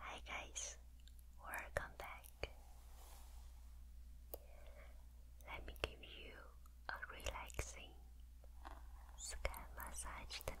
Hi guys, welcome back. Let me give you a relaxing scalp massage tonight.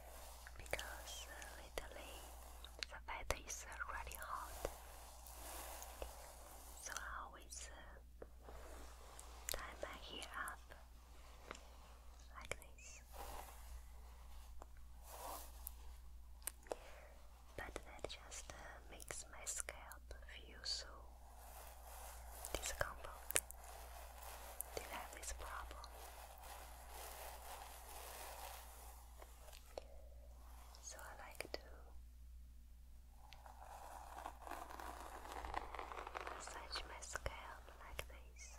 because lately uh, the weather is uh, really hot. So I always uh, tie my hair up like this. But that just uh, makes my scalp feel so discomfort. Do have this problem? So I like to massage my scalp like this.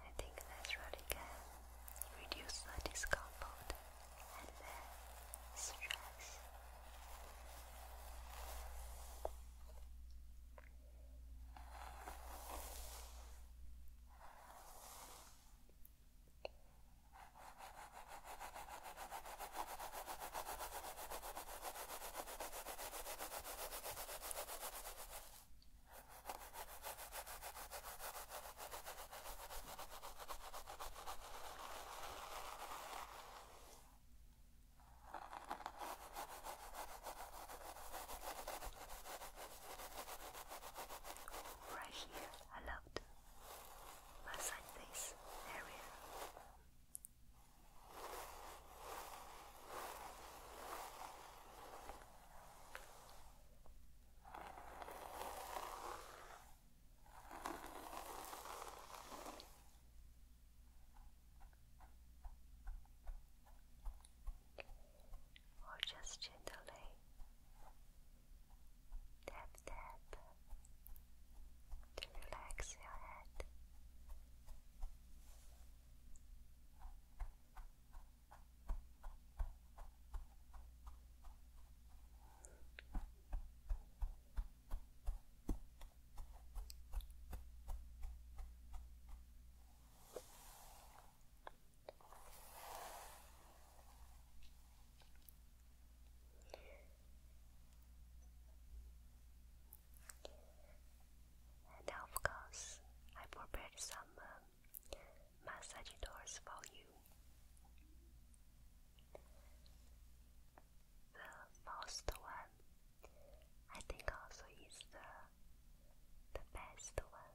I think that's really can reduce the discomfort and the stress. Right here, I love it massage this area. Or just gently Tap tap to relax your head of course, I prepared some uh, for you. The first one, I think, also is the the best one.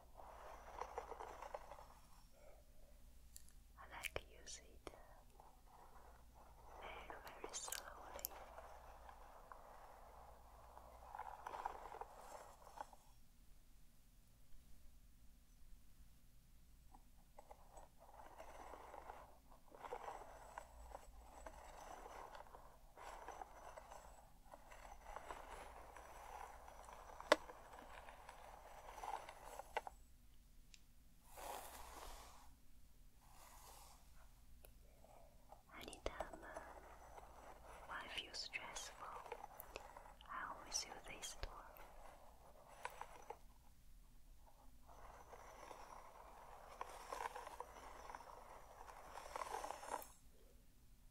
I like use it very, very slowly. Anytime uh, I feel stressful, I always use this tool.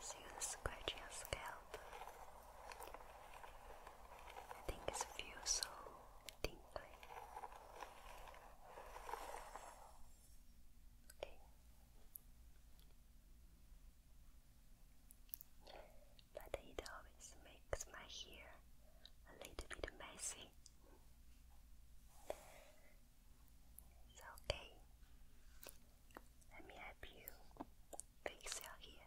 So you scratch your scalp. I think it feels so tingly. Okay. But it always makes my hair a little bit messy. It's okay. Let me help you fix your hair.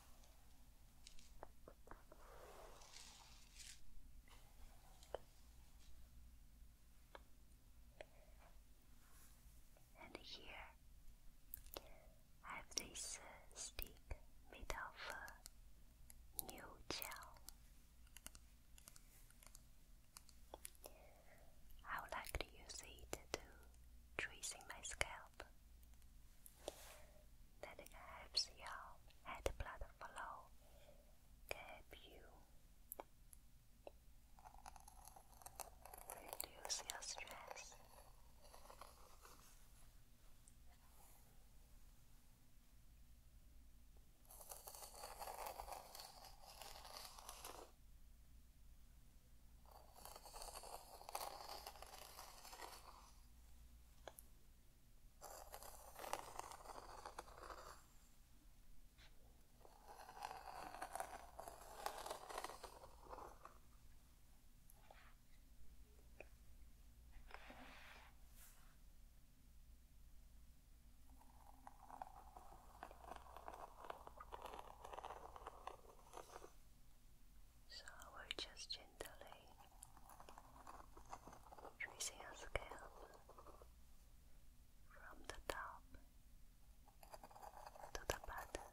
And here I have this uh, stick made of uh, new gel. I would like to use it to tracing my scalp that helps your head blood flow help you reduce your stress. So we're just gently, tracing a scale from the top to the bottom.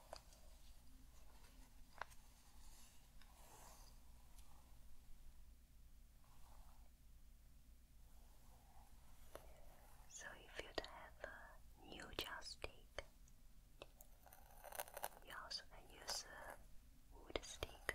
So, if you have a new joystick, you also can use a wood stick.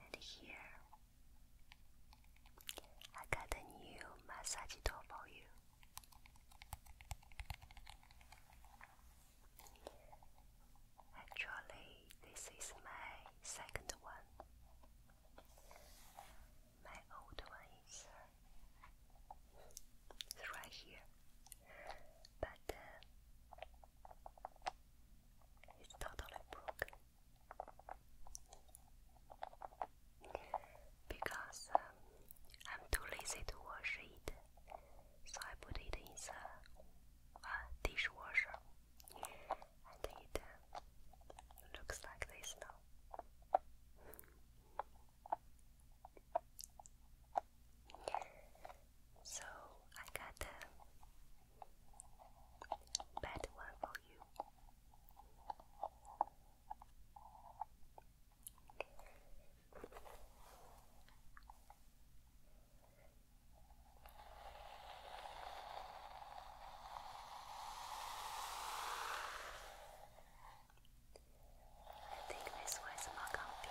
And here, I got a new massage tool for you. Actually, this is my second one. My old one is uh, right here, but uh, it's totally broken because um, I'm too lazy to wash it, so I put it in the uh, dishwasher, and it um, looks like this now. So I got a bad one for you. I think this one is more comfy.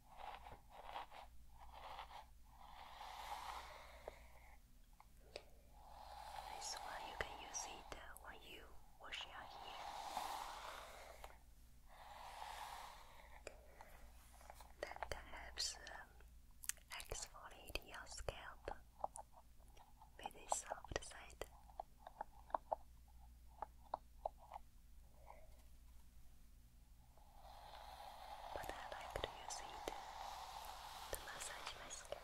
This one you can use it uh, when you wash your hair. That helps exfoliate um, your scalp with a soft side. But I like to use it to massage my scalp.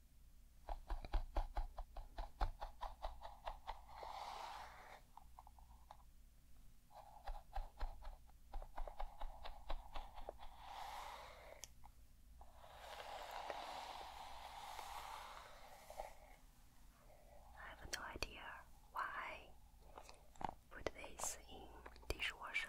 I have no idea why put this in dishwasher.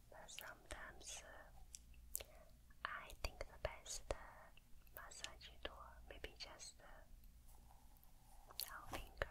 but sometimes uh, I think the best uh, massage tool maybe just uh, finger.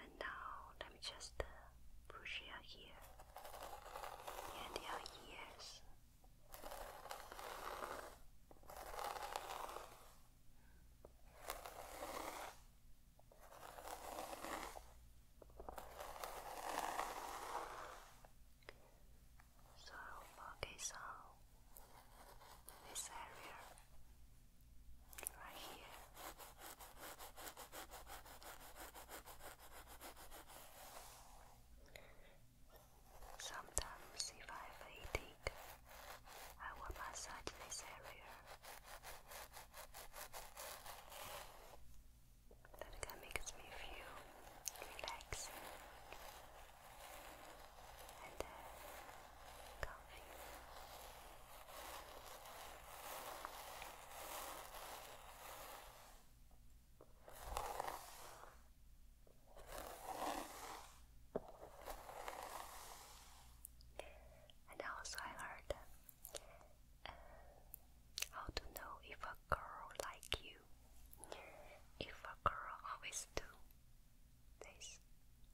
And now let me just push uh, your ear and your ears. So focus on this area right here. Sometimes, if I have headache, I will massage this area. That makes me feel relaxed and uh, comfy. And also, I heard uh, how to know if a girl like you, if a girl always do this,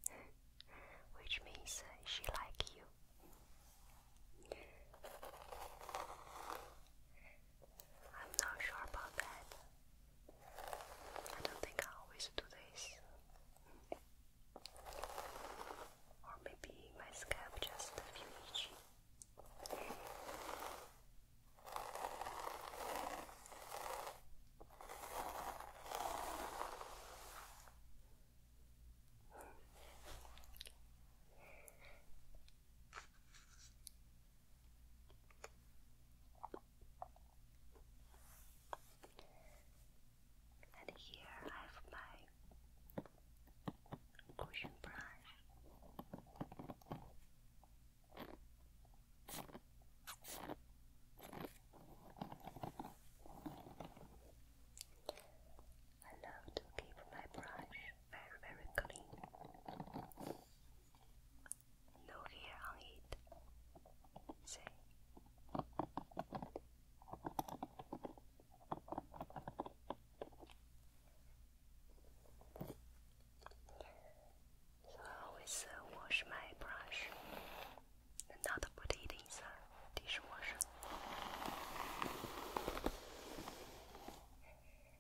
which means she like you. I'm not sure about that. I don't think I always do this. Or maybe my scalp just feels itchy. And here I have my cushion brush. I love to keep my brush very, very clean. No hair on it. See? I always uh, wash my brush not put it in the dishwasher.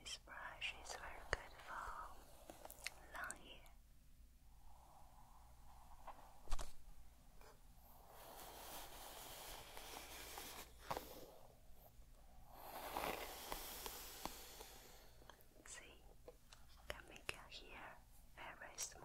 This brush is very good for long hair. See, can make your hair very smooth.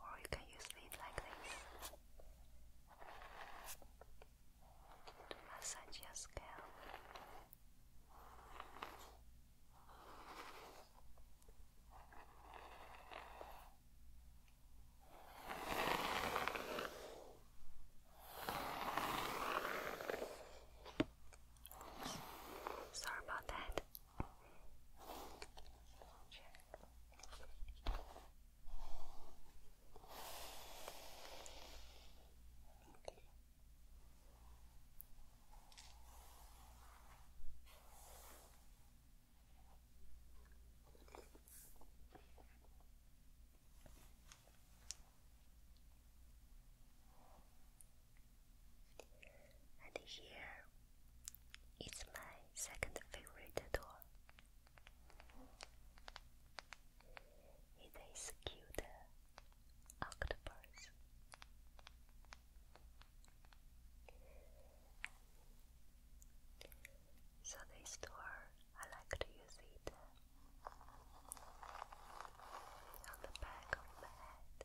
or you can use it like this to massage your scalp. Sorry about that. And here is my second favorite door. It is cute uh, octopus. So they store. I like to use it uh, on the back of my head.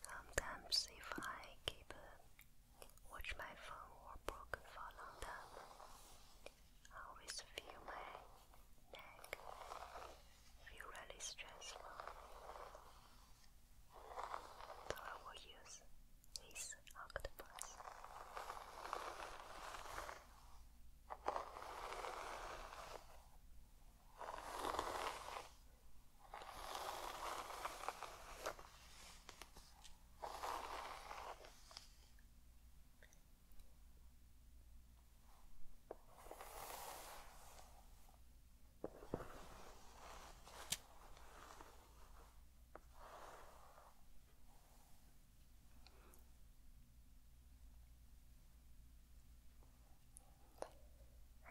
Sometimes if I keep uh, watch my phone or broken for a long time, I always feel my neck feel really stressful so I use this octopus.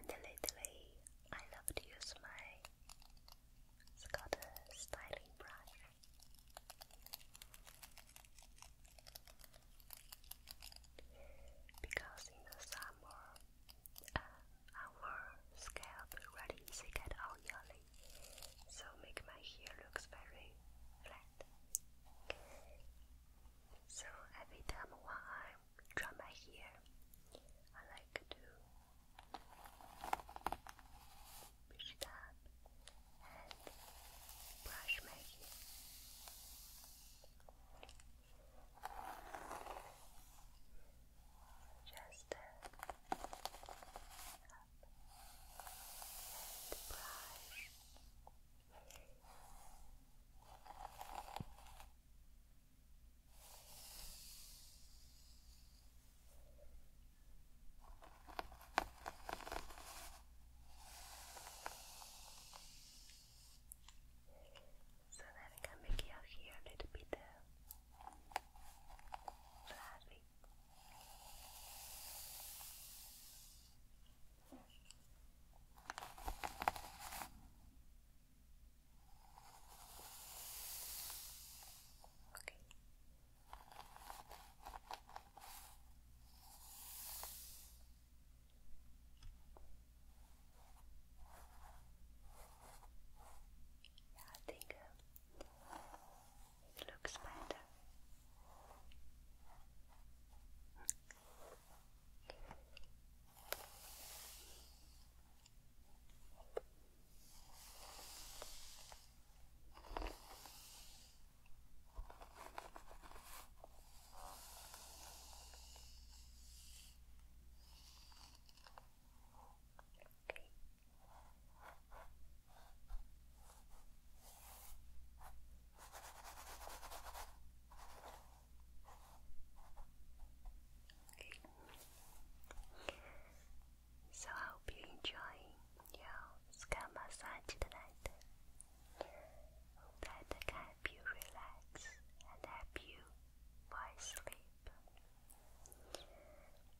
And lately, I love to use my Scotta styling brush. Because in the summer, our scalp really easy get oily, so make my hair looks very flat. So every time when I dry my hair, I like to push it and brush my hair. Just up and brush so that I can make your hair a little bit fluffy. Uh, okay. Yeah, I think uh, it looks better. So I hope you enjoy your scalp massage tonight. that can help you relax and help you fall asleep.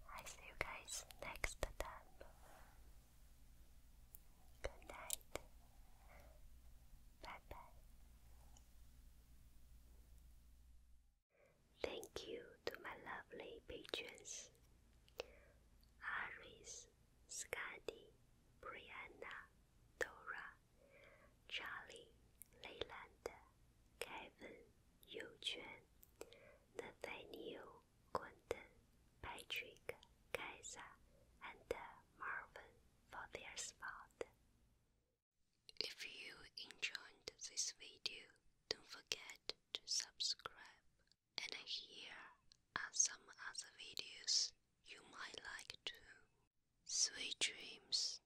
I see you guys next time. Good night. Bye bye. Thank you to my lovely patrons Aris, Scotty, Brianna, Dora, Charlie, Kevin, Patrick, Kaiser, and Marvin for their spot. If you enjoyed this video, don't forget to subscribe. And here are some other videos you might like too. Sweet dreams.